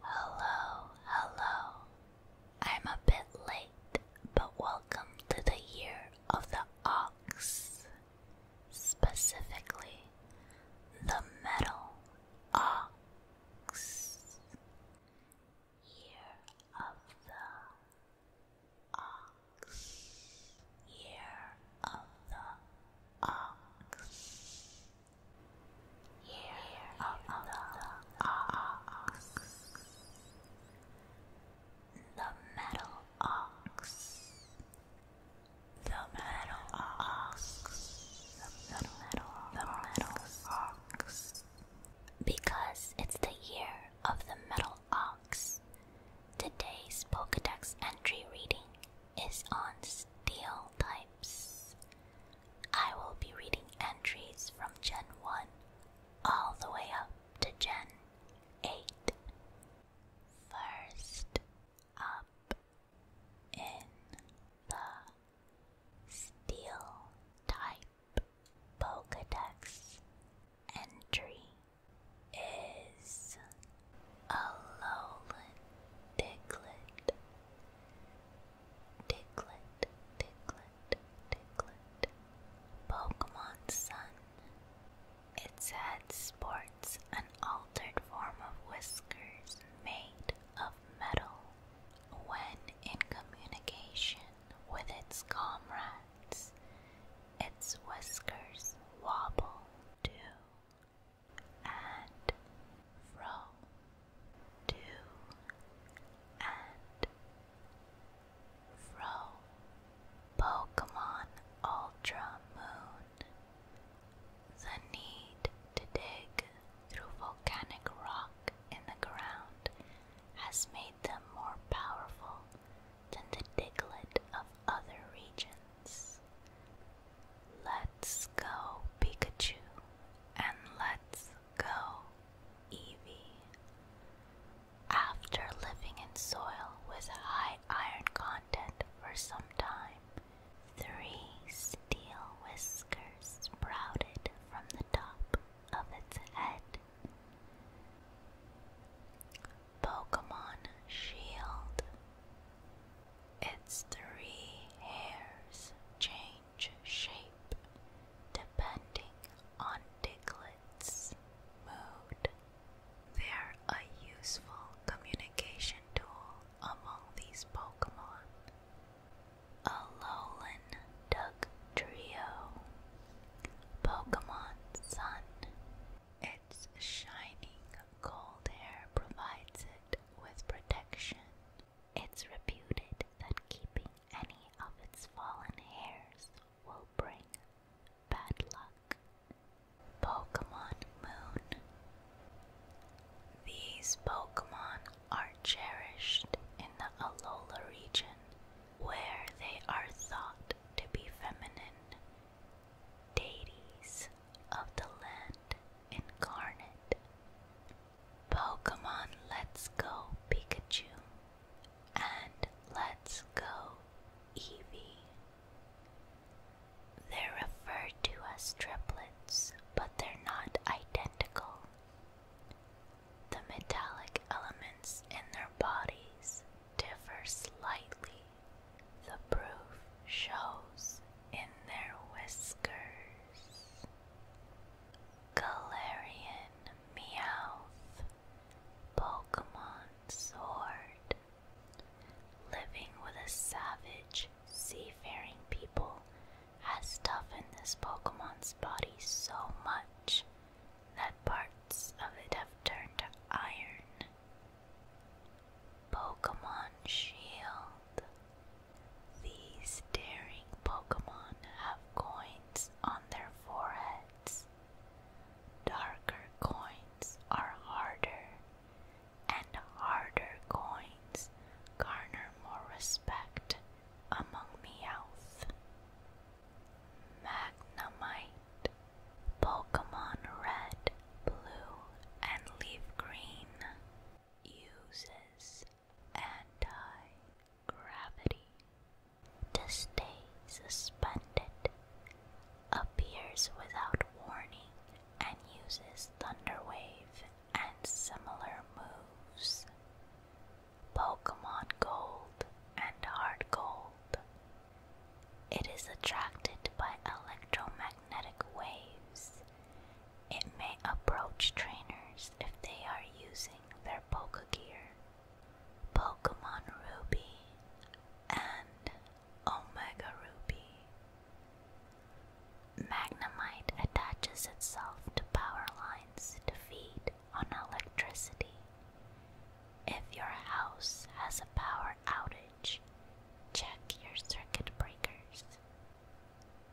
Hello, hello. I'm a bit late, but welcome to the year of the ox. Specifically, the metal ox year of the ox, year of the ox, year of the ox, the metal ox, the metal ox, the metal, the metal ox. Because it's the year of the metal ox. Today's Pokedex entry reading is on steel types. I will be reading entries from Gen 1 all the way up to Gen 8. First up in the steel type Pokedex entry is Alolan Diglett. Diglett, Diglett, Diglett. Pokemon Sun. Its head sports an altered form of whiskers made of metal. When in communication with its comrades, its whiskers wobble to and fro, to and fro. Pokemon Ultra Moon. The need to dig through volcanic rock in the ground has made made them more powerful than the Diglett of other regions. Let's go, Pikachu, and let's go, Eevee. After living in soil with high iron content for some time, three steel whiskers sprouted from the top of its head. Pokemon Shield. Its three hairs change shape depending on Diglett's mood. They're a useful communication tool among these Pokemon. Alolan Duck Trio Pokemon Sun. Its shining gold hair provides it with protection. It's reputed that keeping any of its fallen hairs will bring bad luck. Pokemon Moon. These Pokemon are cherished in the Alola region, where they are thought to be feminine deities of the land incarnate. Pokemon Let's Go Pikachu and Let's Go Eevee. They're referred to as triplets, but they're not identical. The metallic elements in their bodies differ slightly. The proof shows in their whiskers. Galarian Meowth, Pokemon Sword. Living with a savage, seafaring people has toughened this Pokemon's body so much that parts of it have turned to iron. Pokemon Shield. These daring Pokemon have coins on their foreheads. Darker coins are harder, and harder coins garner more respect among Meowth, Magnemite, Pokemon Red, Blue, and Leaf Green uses anti-gravity to stay suspended, appears without warning, and uses Thunder Wave and similar moves. Pokemon Gold and Hard Gold. It is attracted by electromagnetic waves. It may approach trainers if they are using their Pokegear. Pokemon Ruby and Omega Ruby. Magnemite attaches itself to power lines to feed on electricity. If your house has a power outage, check your circuit breakers.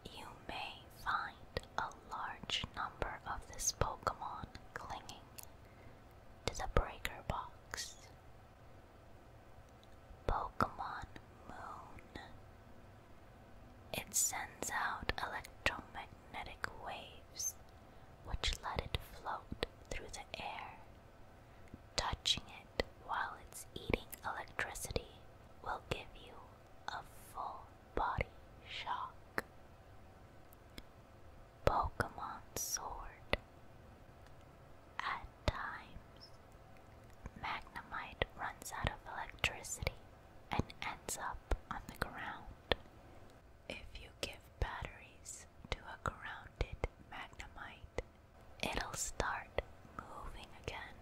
You may find a large number of this Pokemon clinging to the breaker box. Pokemon Moon it sends out electromagnetic waves which let it float through the air. Touching it while it's eating electricity will give you a full body shock. Pokemon Sword. At times, Magnemite runs out of electricity and ends up on the ground. If you give batteries to a grounded magnemite, it'll start moving again.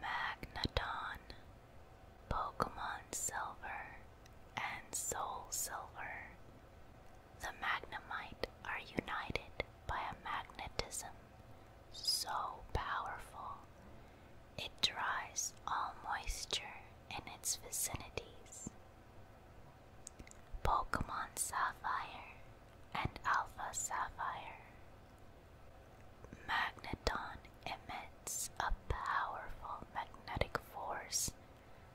Magneton, Pokemon Silver, and Soul Silver. The Magnemite are united by a magnetism so powerful it dries all moisture in its vicinities. Pokemon Sapphire and Alpha Sapphire. Magneton emits a powerful magnetic force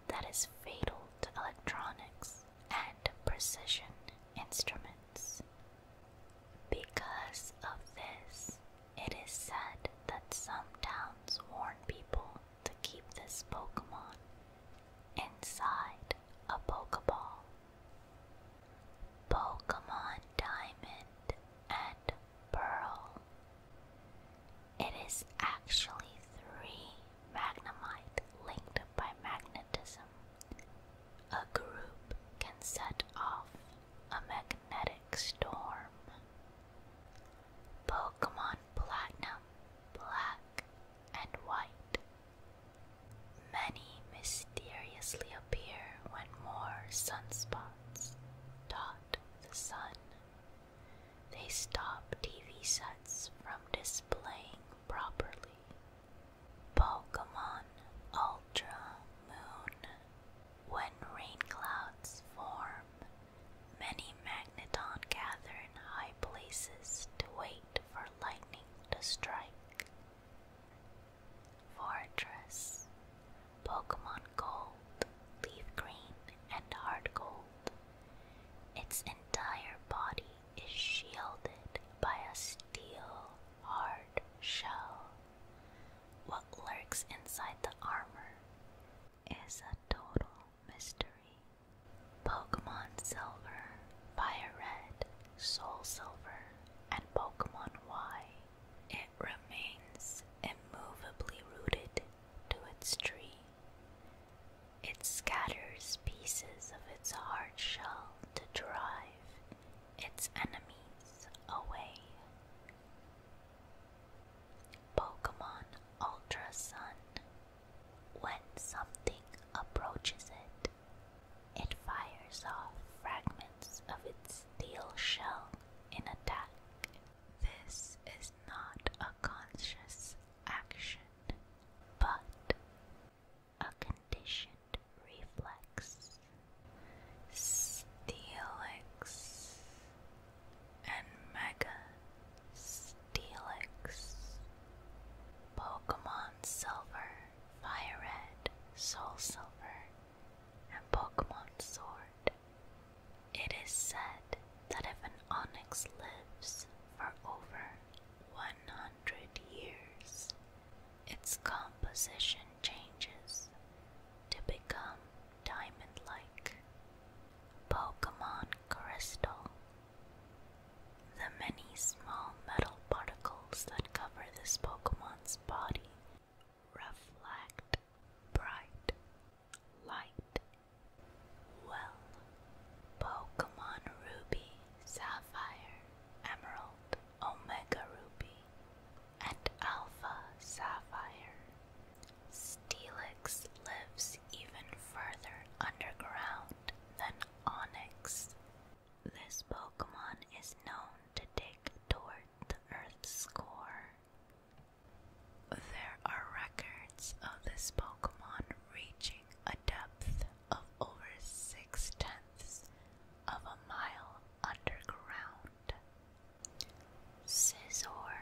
that is fatal to electronics and precision instruments. Because of this, it is said that some towns warn people to keep this Pokemon inside a Pokeball. Pokemon Diamond and Pearl. It is actually three Magnemite linked by magnetism. A group can set off a magnetic storm. Pokemon Platinum, Black, and White. Many mysteriously appear when more sunspots dot the sun. They stop TV sets from displaying properly. Pokemon Ultra Moon when rain clouds form, many magnetons gather in high places to wait for lightning to strike. Fortress, Pokemon Gold, Leaf Green, and Hard Gold. Its entire body is shielded by a steel hard shell. What lurks inside the armor is a total mystery. Pokemon Silver, Fire Red, Soul Silver, and Pokemon Y. It remains immovably rooted to its tree. It scatters pieces of its hard shell to drive its enemies away. Pokemon Ultra Sun. When something approaches it, it fires off fragments of its steel shell in attack. This is not a conscious action, but a condition reflex, steelix, and mega steelix. Pokemon Silver, Fire Red, and Pokemon Sword. It is said that if an Onyx lives for over 100 years, its composition changes to become diamond like. Pokemon Crystal. The many small metal particles that cover this Pokemon's body reflect bright light. Well, Pokemon Ruby, Sapphire, Emerald, Omega Ruby, and Alpha Sapphire. Steelix lives even further underground than Onyx. This Pokemon is known to dig toward the Earth's core. There are records of this Pokemon reaching a depth of over six tenths of a mile underground. Scizor,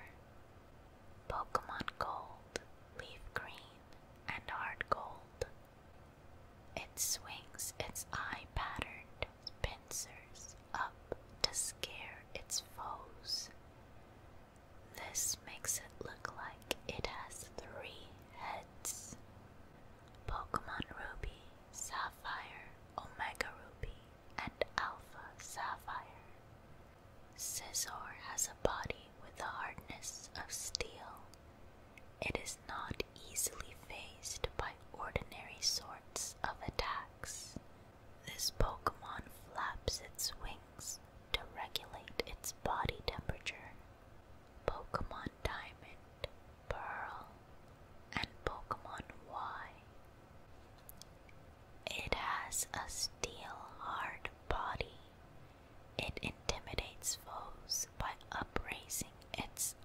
Pokemon Gold, Leaf Green, and Hard Gold. It swings its eye patterned pincers up to scare its foes. This makes it look like it has three heads. Pokemon Ruby Sapphire, Omega Ruby, and Alpha Sapphire. Scizor has a body with the hardness of steel. It is not easily phased by ordinary sorts of attacks. This Pokemon flaps its wings to regulate its body temperature. Pokemon Diamond Pearl, and Pokemon Y. It has a steel hard body. It intimidates foes by upraising its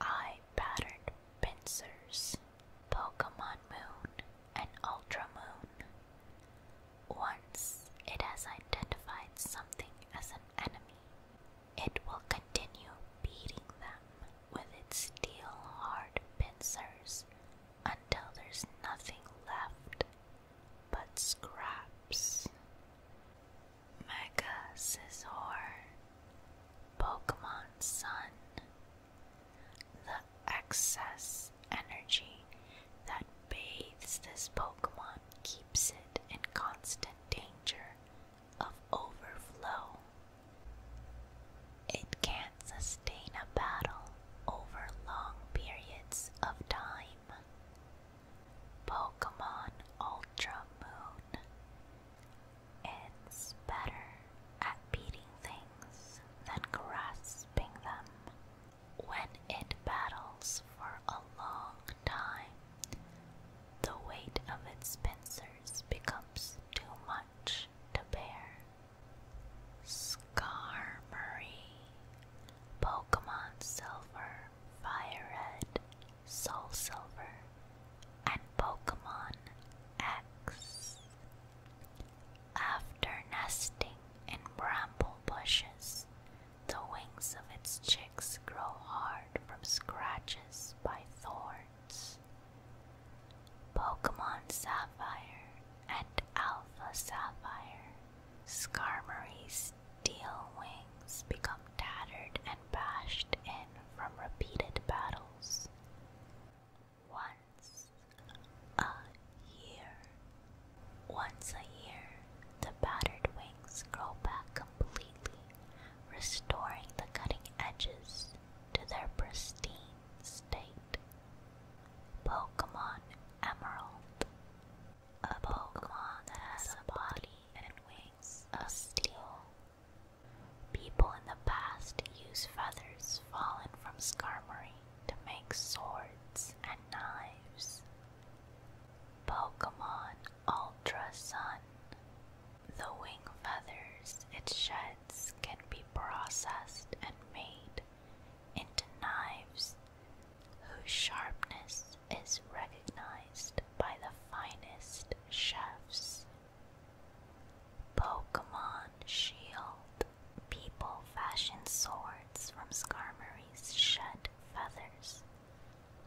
eye patterned pincers. Pokemon Moon and Ultra Moon. Once it has identified something as an enemy, it will continue beating them with its steel hard pincers until there's nothing left but scraps. Mega Scizor, Pokemon Sun. The excess energy that bathes this Pokemon keeps it in constant danger of overflow. It can not sustain a battle over long periods of time. Pokemon Ultra Moon It's better at beating things than grasping them. When it battles for a long time, the weight of its pincers becomes too much to bear. Skarmory, Pokemon Silver, Fire Red, Soul Silver, and Pokemon X. After nesting in bramble bushes, the wings of its chicks grow hard from scratches by thorns. Pokemon Sapphire and Alpha Sapphire, Skarmory's steel wings become tattered and bashed in from repeated battles. Once a year, once a year, the battered wings grow back completely restoring the cutting edges to their pristine state. Pokemon Emerald. A Pokemon that has a body and wings of steel. People in the past used feathers fallen from Skarmory to make swords and knives. Pokemon Ultra Sun. The wing feathers it sheds can be processed and made into knives whose sharpness is recognized by the finest chefs. Pokemon Shield people fashion swords from Skarmory's shed feathers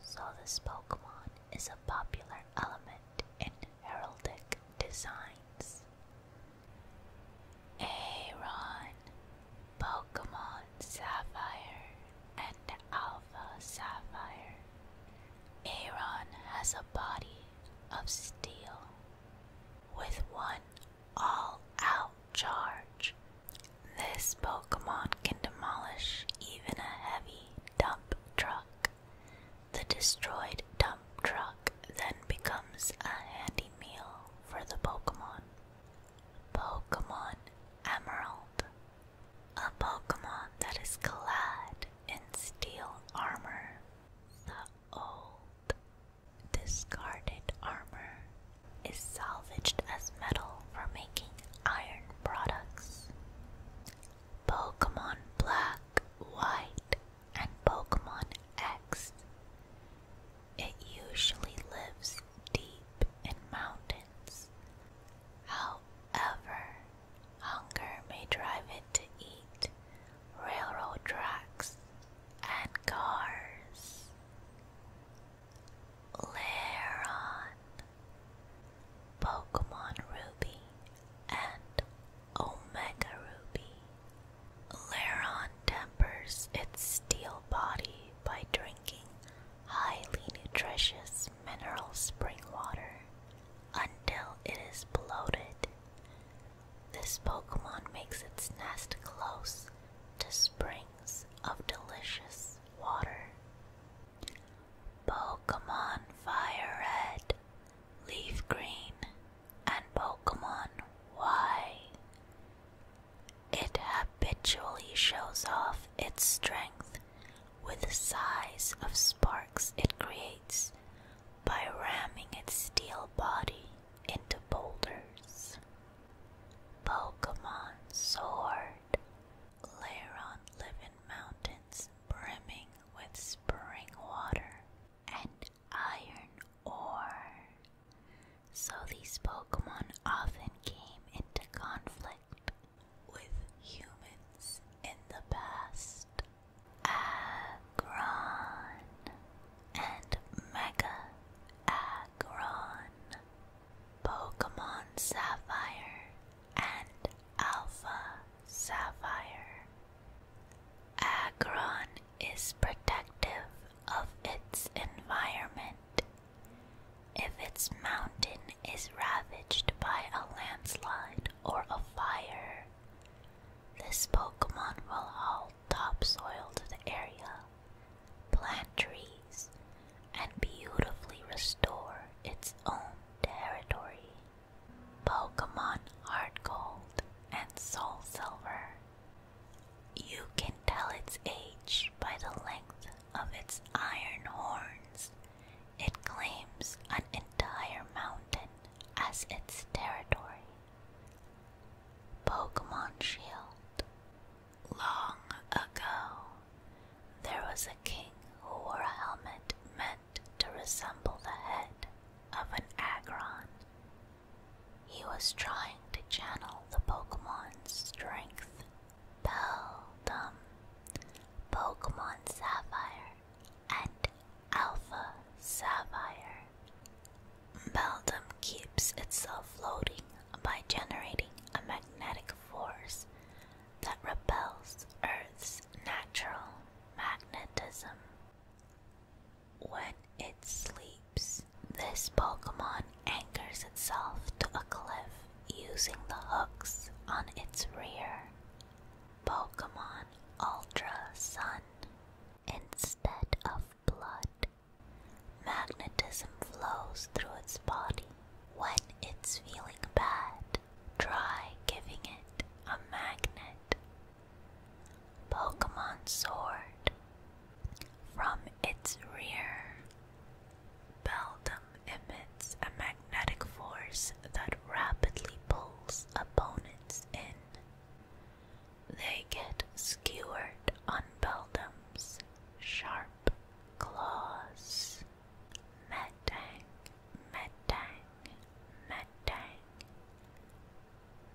so this Pokemon is a popular element in heraldic designs. Aeron, Pokemon Sapphire, and Alpha Sapphire. Aeron has a body of steel with one all out charge. This Pokemon can demolish even a heavy dump truck. The destroyed dump truck then becomes a handy meal for the Pokemon. Pokemon Emerald. A Pokemon that is clad in steel armor. The old, discarded armor is salvaged as metal for making iron products. Pokemon Black, White, and Pokemon X. It usually lives deep in mountains. However, hunger may drive it to eat railroad tracks and cars. Laron, Pokemon Ruby and Omega Ruby. Laron tempers its steel body by drinking highly nutritious mineral spring water until it is bloated. This Pokemon makes its nest close to springs of delicious water. Pokemon Fire Red, Leaf Green, and Pokemon Y. It habitually shows off its strength with the size of sparks it creates by ramming its steel body into boulders. Pokemon Sword. Lair on Mountain brimming with spring water and iron ore. So these Pokemon often came into conflict with humans in the past. Agron and Mega Agron. Pokemon Sapphire and Alpha Sapphire. Agron is protective of its environment. If its mountain is ravaged by a landslide or a fire, this Pokemon will haul topsoil to the area, plant trees, and beautifully restore its own territory. Pokemon Heart Gold and Soul Silver. You can tell its age by the length of its iron horns. It claims an entire mountain as its territory. Pokemon Shield. Long ago, there was a king who wore a helmet meant to resemble the head of an Agron. He was trying to channel the Pokemon's strength. Peldum, Pokemon Sapphire, and Alpha Sapphire. Beldum keeps itself floating by generating a magnetic force that repels Earth's natural magnetism. When it sleeps, this Pokemon anchors itself to a cliff using the hooks on its rear. Pokemon Ultra Sun. Instead of blood, magnetism flows through its body. When it's feeling bad, Try giving it a magnet. Pokemon Sword. From its rear, Beldum emits a magnetic force that rapidly pulls opponents in. They get skewered on Beldum's sharp claws. Metang, Metang, Metang,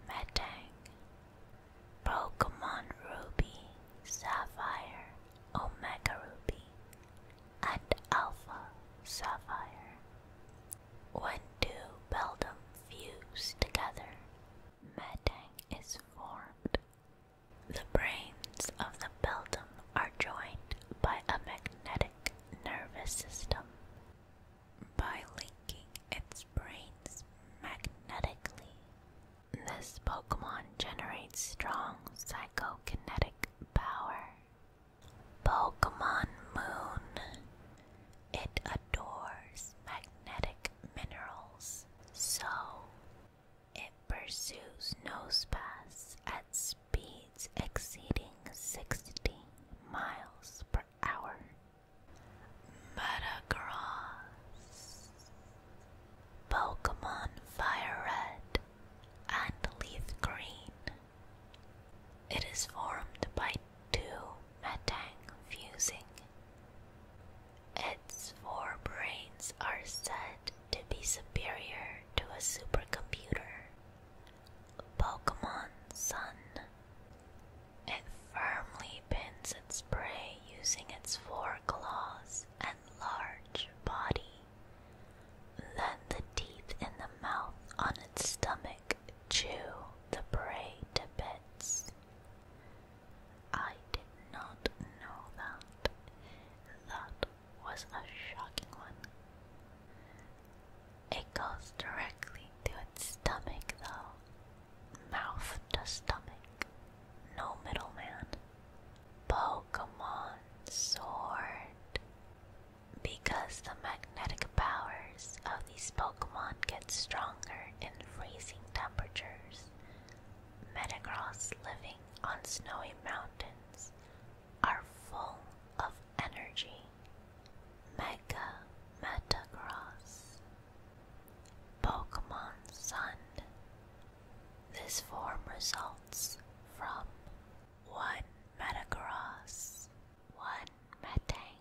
Metang, Pokemon Ruby, Sapphire, Omega Ruby, and Alpha Sapphire. When two Beldum fuse together, Metang is formed. The brains of the Beldum are joined by a magnetic nervous system. By linking its brains magnetically, this Pokemon generates strong psychokinetic power. Pokemon Moon. It adores magnetic minerals, so it pursues no nosepaths at speeds exceeding sixty miles per hour. Metagross Pokemon Fire Red and Leaf Green. It is formed by two Metang fusing. Its four are said to be superior to a supercomputer. Pokemon Sun. It firmly pins its prey using its four claws and large body. Then the teeth in the mouth on its stomach chew the prey to bits. I did not know that. That was a shocking one. It goes directly to its stomach, though. Mouth to stomach. No middleman. Pokemon Sword. Because the magnetic powers of these Pokemon get stronger in freezing temperatures, Metagross living on snowy mountains are full of energy. Mega Metagross. Pokemon Sun. This form results from one Metagross, one Metang,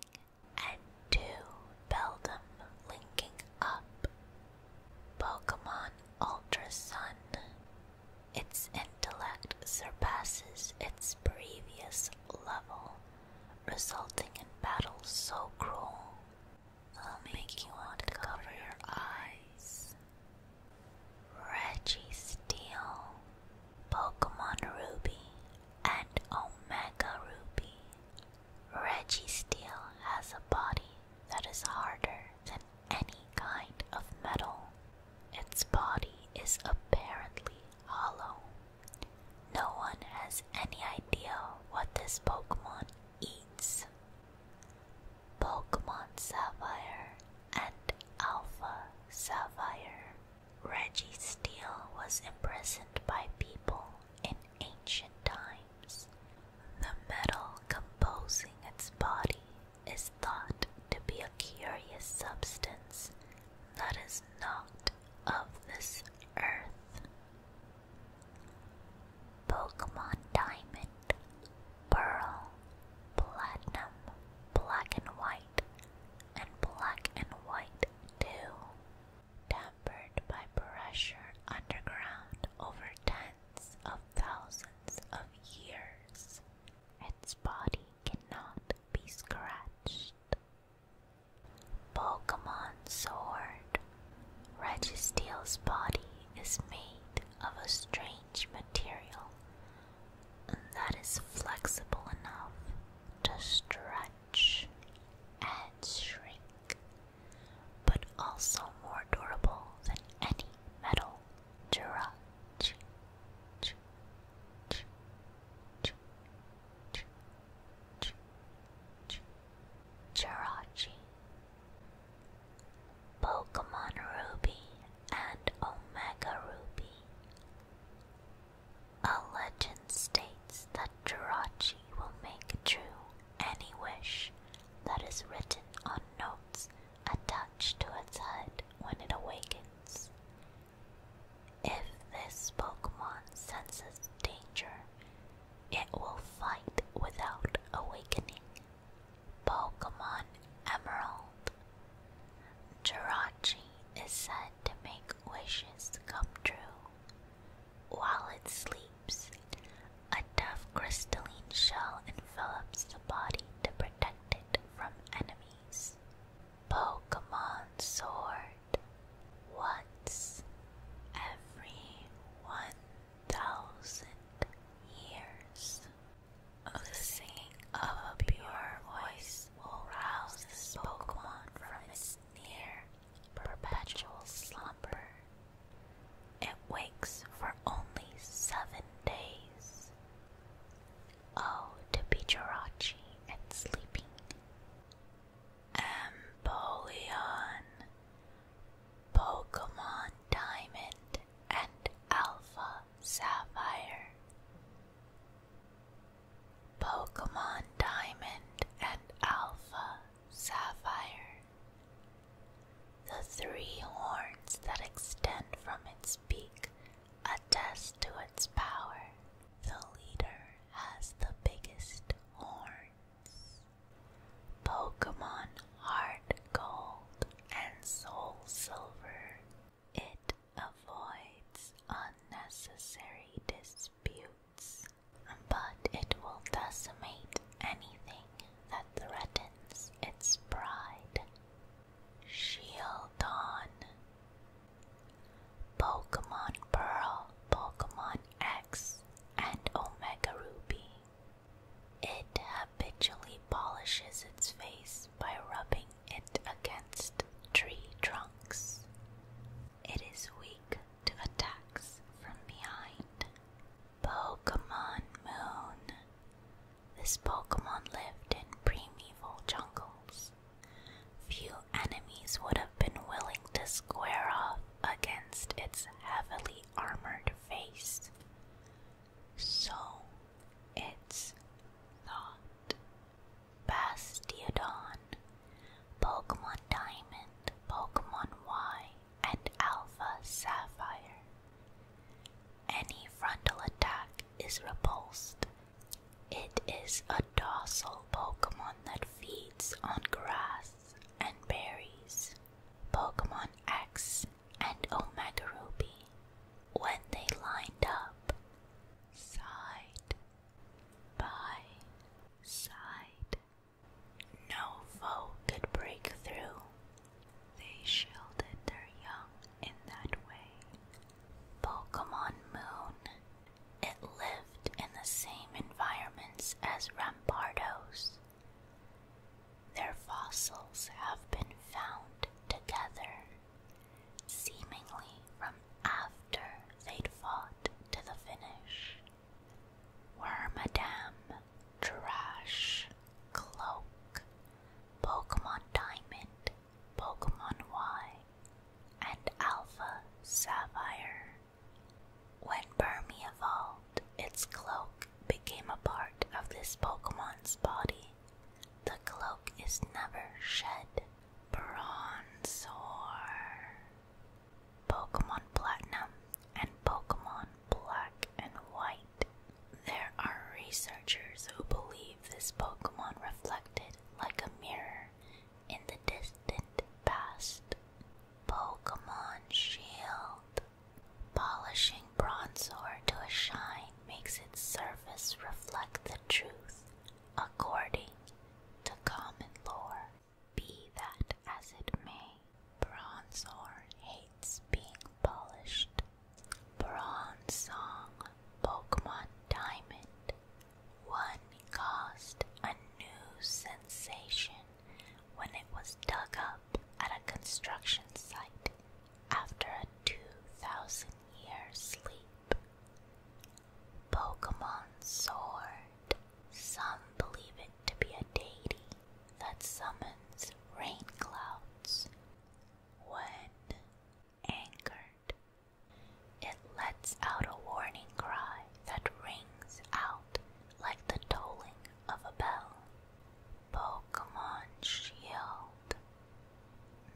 and two Beldum linking up. Pokemon Ultra Sun. Its intellect surpasses its previous level, resulting in battles so cruel they'll make you want to cover your eyes. Reggie Steel, Pokemon Ruby, and Omega Ruby. Reggie Steel has a body that is harder than any kind of metal. Its body is apparently hollow. No one has any idea what this Pokemon eats. Pokemon Sapphire and Alpha Sapphire. Reggie Steel was imprisoned by people in ancient times. The metal composing its body is thought to be a curious substance that is not of this earth. Pokemon Diamond, Pearl, Platinum, Black and White, and Black and White 2. Tempered by pressure underground over 10 of thousands of years. Its body cannot be scratched. Pokemon Sword Registeel's body is made of a strange material that is flexible enough to stretch and shrink, but also more durable than any metal Jirachi. Pokemon Ruby and Omega Ruby. A legend states that Jirachi will make true any wish that is written on notes a touch to its head when it awakens. If this Pokemon senses danger, it will fight without awakening. Pokemon Emerald. Jirachi is said to make wishes come true. While it sleeps, a tough crystalline shell envelops the body to protect it from enemies. Pokemon Sword. Once every 1,000 years, the singing of a pure voice will rouse this Pokemon from its near perpetual slumber. It wakes for only seven days. Oh, to be Jirachi and sleeping. Empoleon, Pokemon Diamond, and Alpha Sapphire. Pokemon Diamond and Alpha Sapphire the three horns that extend from its beak attest to its power. The leader has the biggest horns. Pokemon Heart Gold and Soul Silver. It avoids unnecessary disputes, but it will decimate anything that threatens its pride. Shield on. Pokemon Pearl, Pokemon X, and Omega Ruby. It habitually polishes its face by rubbing it against tree trunks. It is weak to attacks from behind. Pokemon Moon. This Pokemon lived in primeval jungles. Few enemies would have been willing to square off against its heavily armored face. So, it's thought Bastiodon, Pokemon Diamond, Pokemon Y, and Alpha Sapphire. Any frontal attack is repulsed. It is a docile Pokemon that feeds on grass and berries. Pokemon X and Omega Ruby, when they lined up, side by side, no foe could break through they shielded their young in that way. Pokemon Moon. It lived in the same environments as Rampardos. Their fossils have been found together, seemingly from after they'd fought to the finish. Wormadam. Trash, Cloak, Pokemon Diamond, Pokemon Y, and Alpha Sapphire. When Burmy evolved, its cloak became a part of this Pokemon's body. The cloak is never shed. Bronzor. Pokemon Platinum and Pokemon Black and White. There are researchers who believe this Pokemon reflected like a mirror in the distant past. Pokemon Shield. Polishing Bronzor to a shine makes its surface reflect the truth according to common lore. Be that as it may. Bronzor hates being polished. Bronzong Pokemon Diamond. One caused a new sensation when it was dug up at a construction site after a 2,000 year sleep. Pokemon Sword. Some believe it to be a deity that summons rain clouds. When angered, it lets out a warning cry that rings out like the tolling of a bell. Pokemon Shield.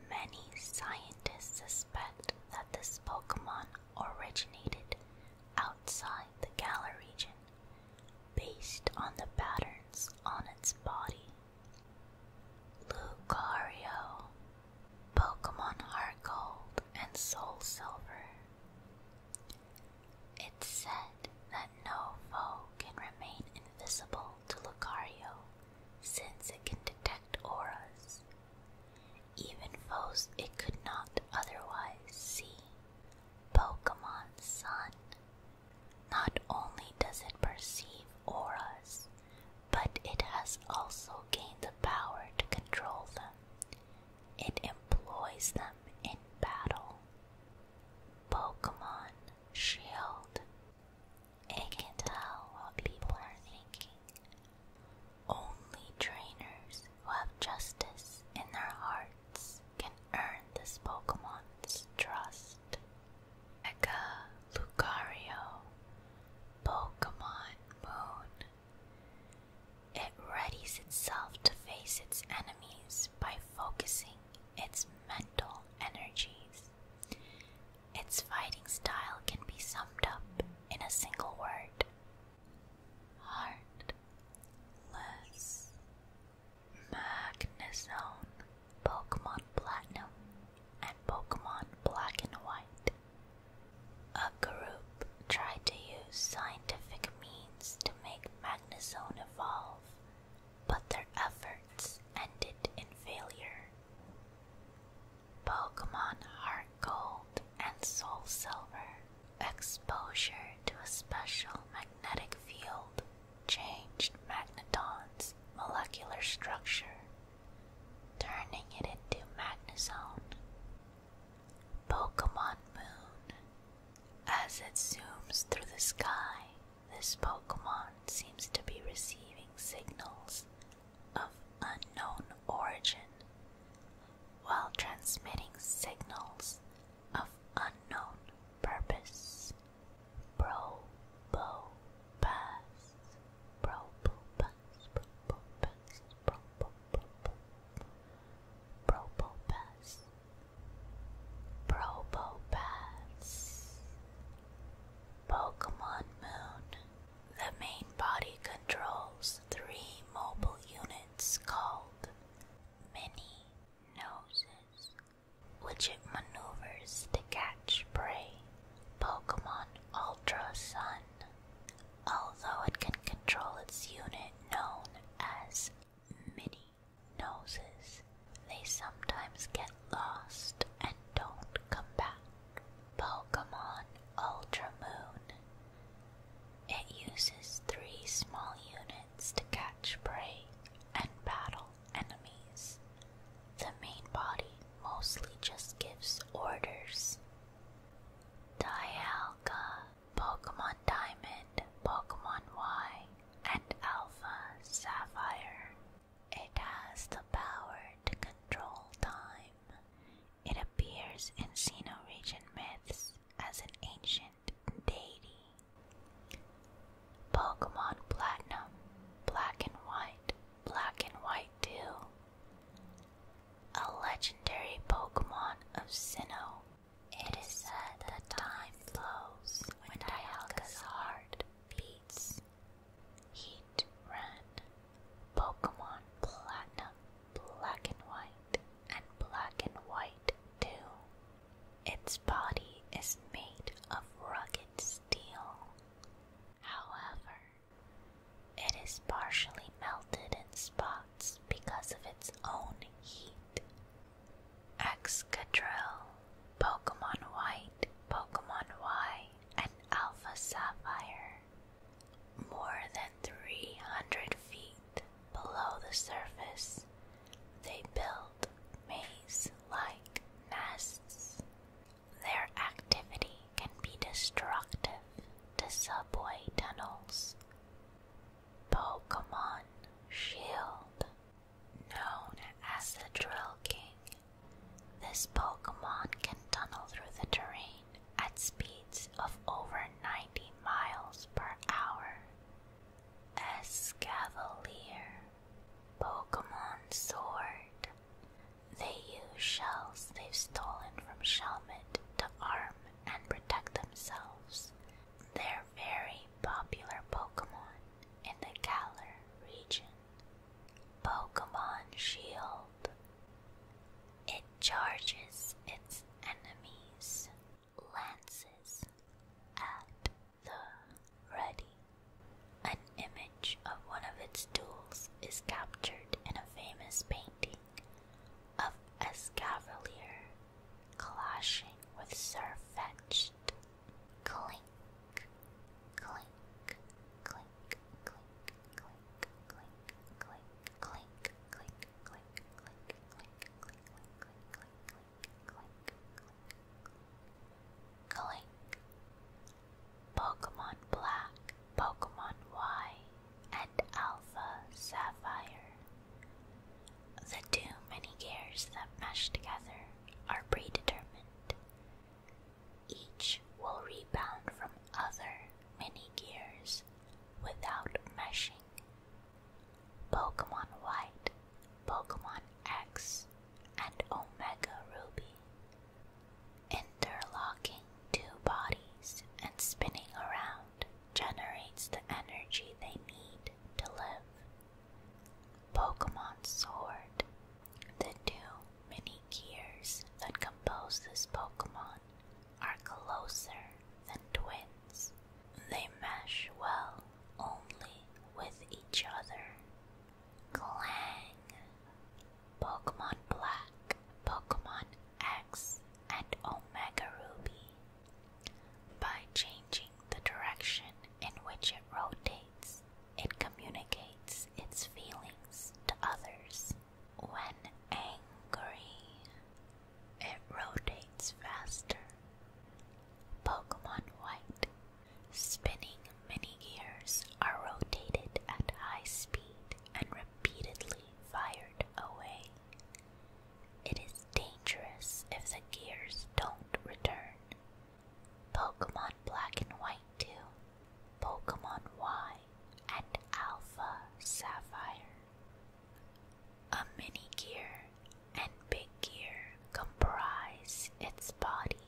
Many scientists suspect that this Pokemon originated outside the gala region based on the patterns on its body. Lucario, Pokemon are gold and Soul Silver. It's said that no foe can remain invisible to Lucario since it can detect auras, even foes it could not otherwise see Pokemon Sun. Not only does it perceive auras, but it has also gained the power to control them. It employs them in battle. Pokemon Shield. It can tell what people are thinking. Only trainers who have justice in their heart can earn this Pokemon's trust. Eka Lucario Pokemon Moon. It readies itself to face its enemies by focusing its mental energies. Its fighting style can be summed up in a single word. Heartless Magnezone, Pokemon Platinum, and Pokemon Black and White. A group tried to use scientific means to make Magnezone evolve, but their efforts ended in failure. Pokemon Heart Gold and Soul Silver Exposure to a special magnetic field changed magneton's molecular structure, turning it into Magnezone. Pokemon Moon. As it zooms through the sky, this Pokemon seems to be receiving signals of unknown origin while transmitting signals of unknown purpose. Probopus, probopus, probopus, probopus, probopus, probopus. Pokemon Moon. The main body controls three mobile units called Mini noses, which it maneuvers to catch prey. Pokemon Ultra Sun. Although it can control its unit known as mini noses, they sometimes get lost and don't come back. Pokemon Ultra Moon. It uses three small units to catch prey and battle enemies. The main body mostly just gives orders. Dialga, Pokemon Diamond, Pokemon Y, and Alpha Sapphire. It has the power to control time. It appears in Xeno region myths as an ancient ancient Pokemon Platinum, Black and White, Black and White 2. A legendary Pokemon of Sinnoh. It is said that time flows when Dialga's heart beats. Heat Ran, Pokemon Platinum, Black and White, and Black and White 2. Its body is made of rugged steel. However, it is partially melted in spots because of its own heat. Excadrill, Pokemon White, Pokemon Y, and Alpha Sapphire, more than 300 feet below the surface, they build maze like nests. Their activity can be destructive to subway tunnels. Pokemon Shield. Known as the Drill King, this Pokemon can tunnel through the terrain at speeds of over 90 miles per hour. Escavalier, Pokemon Sword. They use shells they've stolen from Shelmet to arm and protect themselves. They're very popular Pokemon in the Galar region. Pokemon Shield. It charges its enemies lances at the ready. An image of one of its tools is captured in a famous painting of a Cavalier clashing with Sir Fetched. Clink, clink, clink, clink, clink, clink, clink, clink, clink, click, click, click, click, click, click, click, click, click. Pokemon Black, Pokemon Y, and Alpha Sapphire. The two many gears that mesh together are predetermined. Each will rebound from other many gears without meshing. Pokemon White, Pokemon X, and Omega Ruby. Interlocking two bodies and spinning around generates the energy they need to live. Pokemon Sword. The two mini gears that compose this Pokemon are closer than twins. They mesh well only with each other. Clang! Pokemon Black, Pokemon X, and Omega Ruby. By changing the direction in which it rotates, it communicates its feelings to others. When angry, it rotates faster. Pokemon White spinning mini gears are rotated at high speed and repeatedly fired away. It is dangerous if the gears don't return. Pokemon Black and White 2, Pokemon Y, and Alpha Sapphire a mini gear and big gear comprise its body.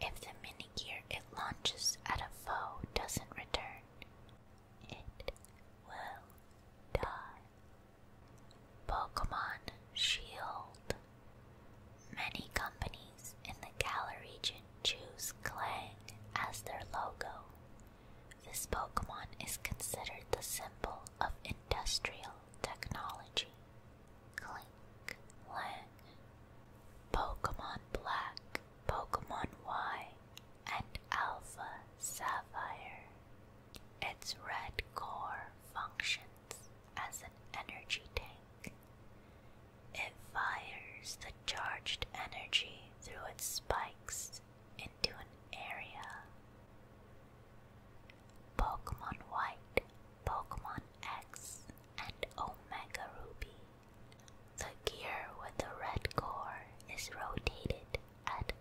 If the mini gear it launches at a foe doesn't return, it will die. Pokemon Shield. Many companies in the Gala region choose Clang as their logo. This Pokemon is considered the symbol of industrial technology. Clink, Lang. Pokemon Black, Pokemon Y, and Alpha Sapphire. Its red core functions as an energy tank. It fires the charged energy through its spikes into an area. Pokemon White, Pokemon X, and Omega Ruby. The gear with the red core is rotated at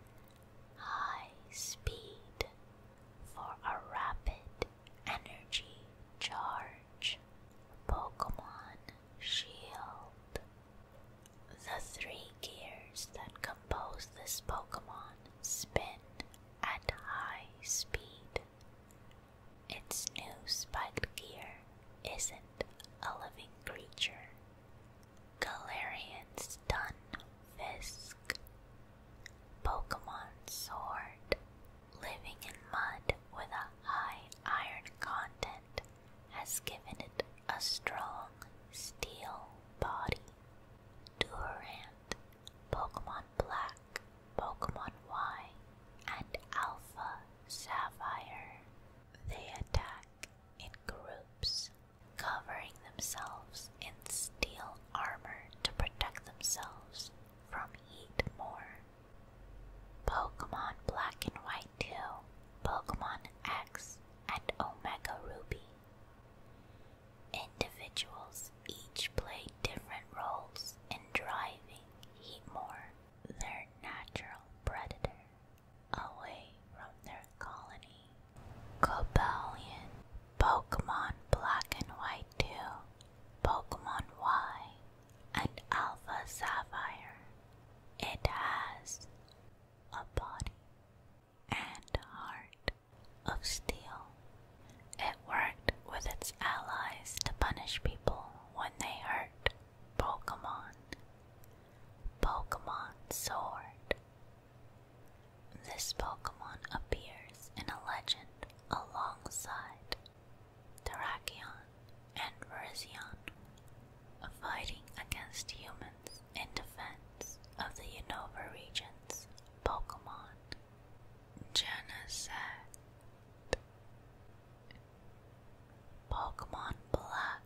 high speed for a rapid energy charge. Pokemon Shield. The three gears that compose this Pokemon spin at high speed. Its new spiked gear isn't a living creature. Galarian's Dun Fisk. Pokemon Sword. Living in mud with a high iron content has given it a strong steel body. Durant, Pokemon Black, Pokemon White, and Alpha Sapphire. They attack in groups, covering themselves in steel armor to protect themselves from heat more. Pokemon Black and White 2, Pokemon X, and Omega Ruby. Individuals each play different roles in driving Heatmore, their natural predator, away from their colony. Cobalion, Pokemon Black and White 2, Pokemon Y, and Alpha Sapphire. It has a body, and heart of steel. It worked with its allies to punish people when they hurt Pokemon. Pokemon Sword. This Pokemon appears in a legend alongside Terrakion and Virizion, fighting against humans in defense of the Unova region's Pokemon. Genesect Pokemon Black.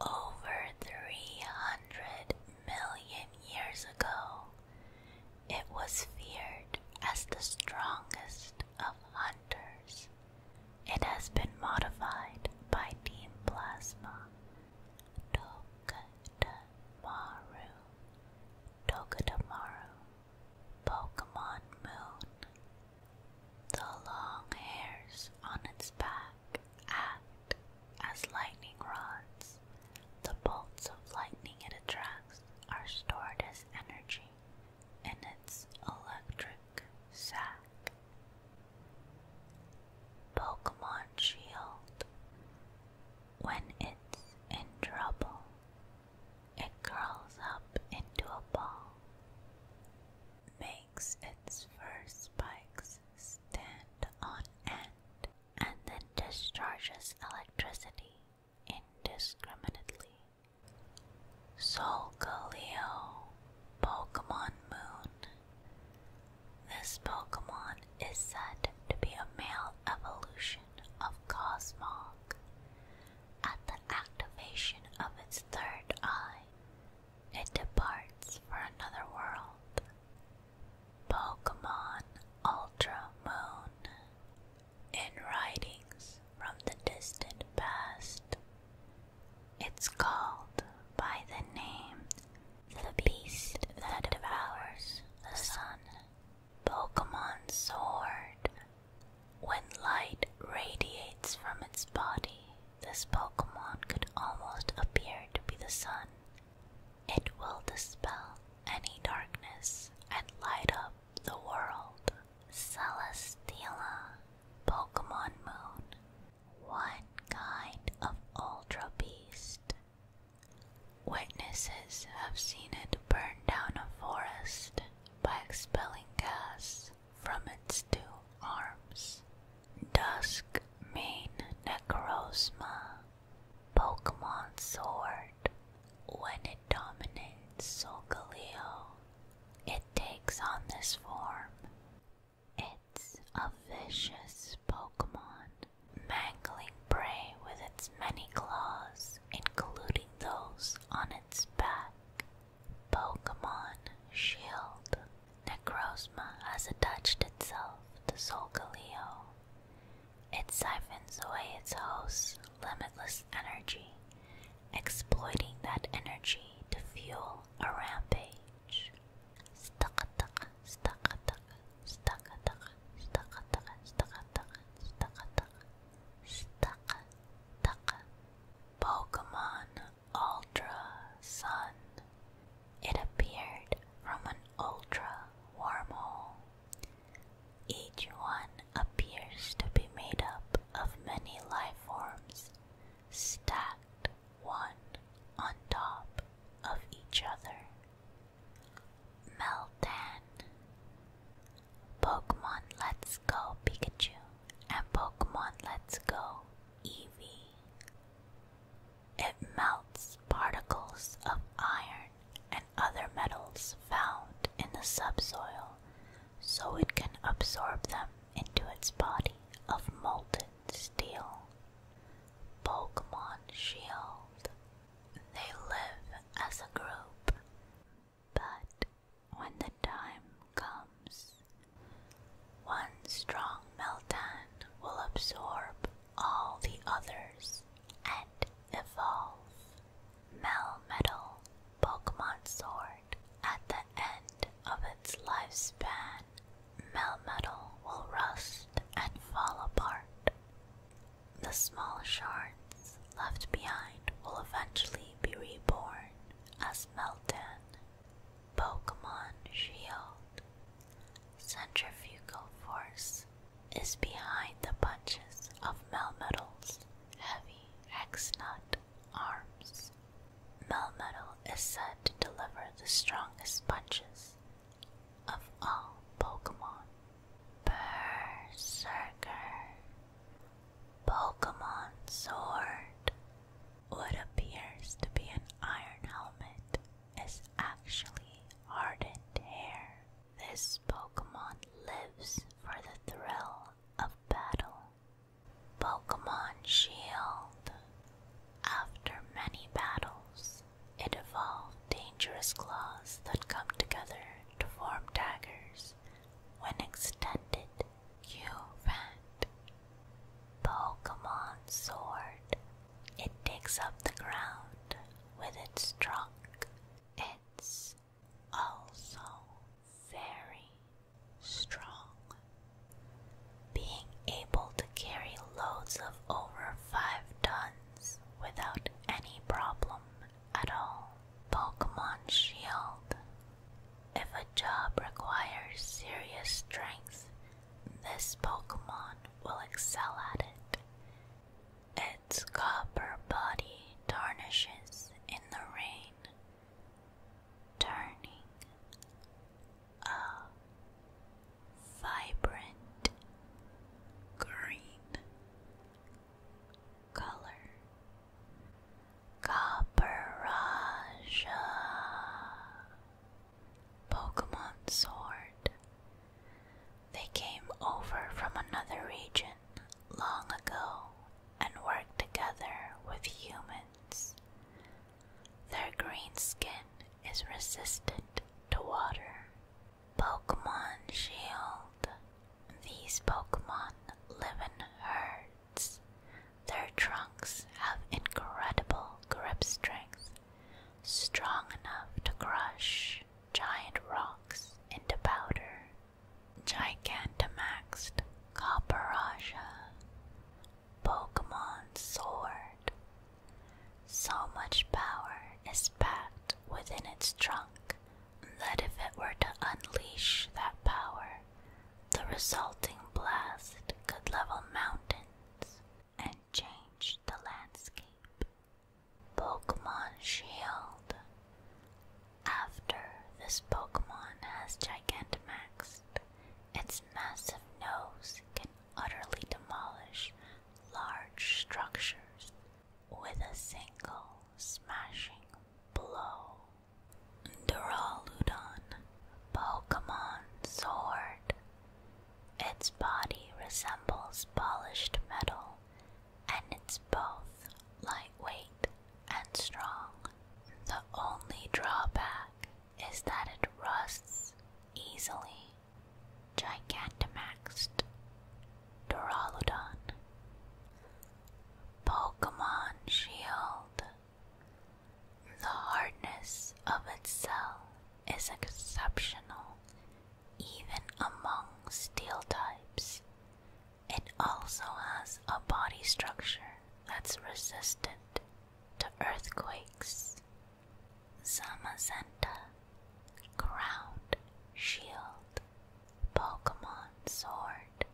Over 300 million years ago, it was feared as the strongest of hunters it has been modified by Team Plasma. Tokotamaru. Tokotamaru. Pokemon Moon. The long hairs on its back act as lightning rods. The bolts of lightning it attracts are stored as energy in its electric sac. Pokemon Shield. When it's in trouble, it curls up into a ball, makes its fur spikes stand on end, and then discharges electricity indiscriminately. Solgaleo Pokemon Moon. This Pokemon is said to be a male evolution of Cosmog. At the activation of its third eye, it departs for another world. Pokemon Ultra Moon. In writings from the distant past, it's called by the name The Beast That Devours the Sun. Pokemon Sword. When light radiates from its body, this Pokemon could almost appear to be the sun. It will dispel any darkness and light up the world. Celesteela. Pokemon Moon one kind of ultra beast. Witnesses have seen it burn down a forest by expelling gas from its two arms. Dusk Main Necrosma Pokemon Sword When it dominates Solgaleo, it takes on this form it's a vicious Pokemon, mangling prey with its many claws, including those on its back. Pokemon Shield. Necrozma has attached itself to Solgaleo. It siphons away its host's limitless energy exploiting that energy to fuel a rampage. Stakataka, stakataka, stakataka, stakataka, stakataka, stakataka, stakataka. Pokemon Ultra Sun. It appeared from an ultra wormhole. Each one appears to be made up of many life forms stacked one on top of each other. Meltan, Pokemon Let's Go Pikachu, and Pokemon Let's Go Eevee. It melts particles of iron and other metals found in the subsoil so it can absorb them into its body of molten steel. Pokemon Shield. They live as a group, but when the time comes, one strong Meltan will absorb all the others and evolve. Melmetal Pokemon Sword. At the end of its lifespan, melmetal will rust and fall apart. The small shards left behind will eventually be reborn as Meltan. Pokemon Shield. Centrifugal force is behind the punches of Melmetal's heavy nut arms. Melmetal is said to deliver the strongest punches of all Pokemon. Berserker. Pokemon Sword. What appears to be an iron helmet is actually hardened hair. This Pokemon lives for the thrill of battle Pokemon Shield. After many battles, it evolved dangerous claws that come together to form daggers when extended. you vet Pokemon Sword. It digs up the ground with its trunk. It's also very strong. Being able to carry loads of over 5 tons without any problem at all. Pokemon Shield. If a job requires serious strength, this Pokemon will excel at it. Its copper body tarnishes in the rain turning a vibrant green color. Copperasha Pokemon Sword. They came over from another region long ago and worked together with humans. Their green skin is resistant to water. Pokemon Shield. These Pokemon live in herds. Their trunks have incredible grip strength, strong enough to crush giant rocks into powder. Gigantamaxed Copperasha, Pokemon Sword. So much power is packed within its trunk that if it were to unleash that power, the resulting blast could level mountains and change the landscape. Pokemon Shield after this Pokemon has Gigantamaxed, its massive nose can utterly demolish large structures with a single smashing blow. Duraludon Pokemon Sword. Its body resembles polished metal and it's both lightweight and strong. The only drawback is that it rusts easily. Gigantamaxed Duraludon. Pokemon Shield. The hardness of its cell is exceptional even among steel types, it also has a body structure that's resistant to earthquakes. Zamazenta, Crowned Shield, Pokemon Sword.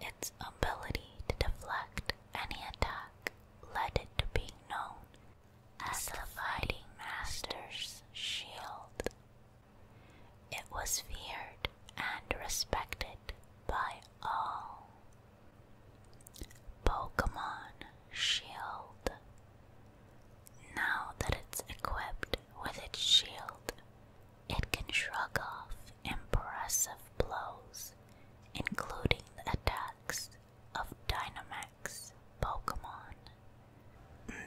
Its ability to deflect any attack led it to being known as the Fighting Master's Shield. It was feared and respected by all. Pokemon Shield. Now that it's equipped with its shield, it can shrug off impressive blows, including attacks of Dynamax Pokemon.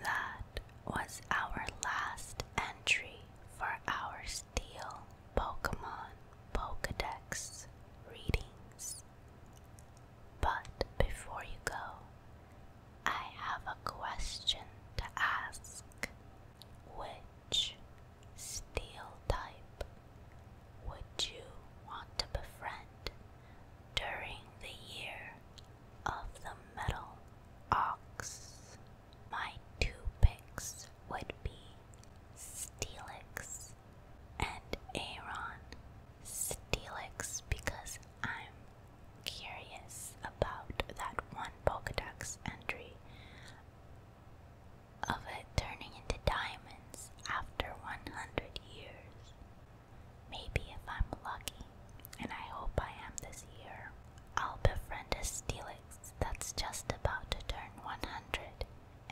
That was our last entry for our Steel Pokemon Pokedex readings. But before you go, I have a question to ask. Which steel type would you want to befriend during the year of the Metal Ox? My two picks would be Steelix and Aaron. Steelix because I'm curious about that one Pokedex entry of it turning into diamonds after 100 years. Maybe if I'm lucky, and I hope I am this year. I'll befriend a Steelix that's just about to turn 100,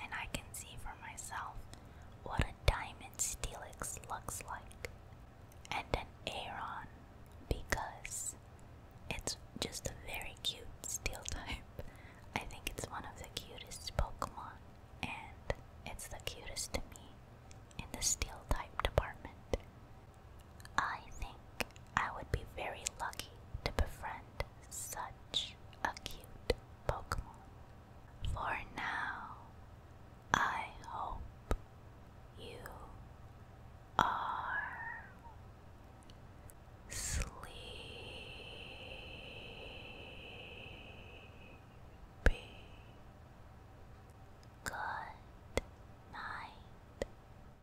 and I can see for myself what a diamond Steelix looks like. And an Aeron, because it's just a very cute steel type. I think it's one of the cutest Pokemon, and it's the cutest to me in the steel type department. I think I would be very lucky to befriend such a cute Pokemon. For now, I hope you are sleepy. Good night.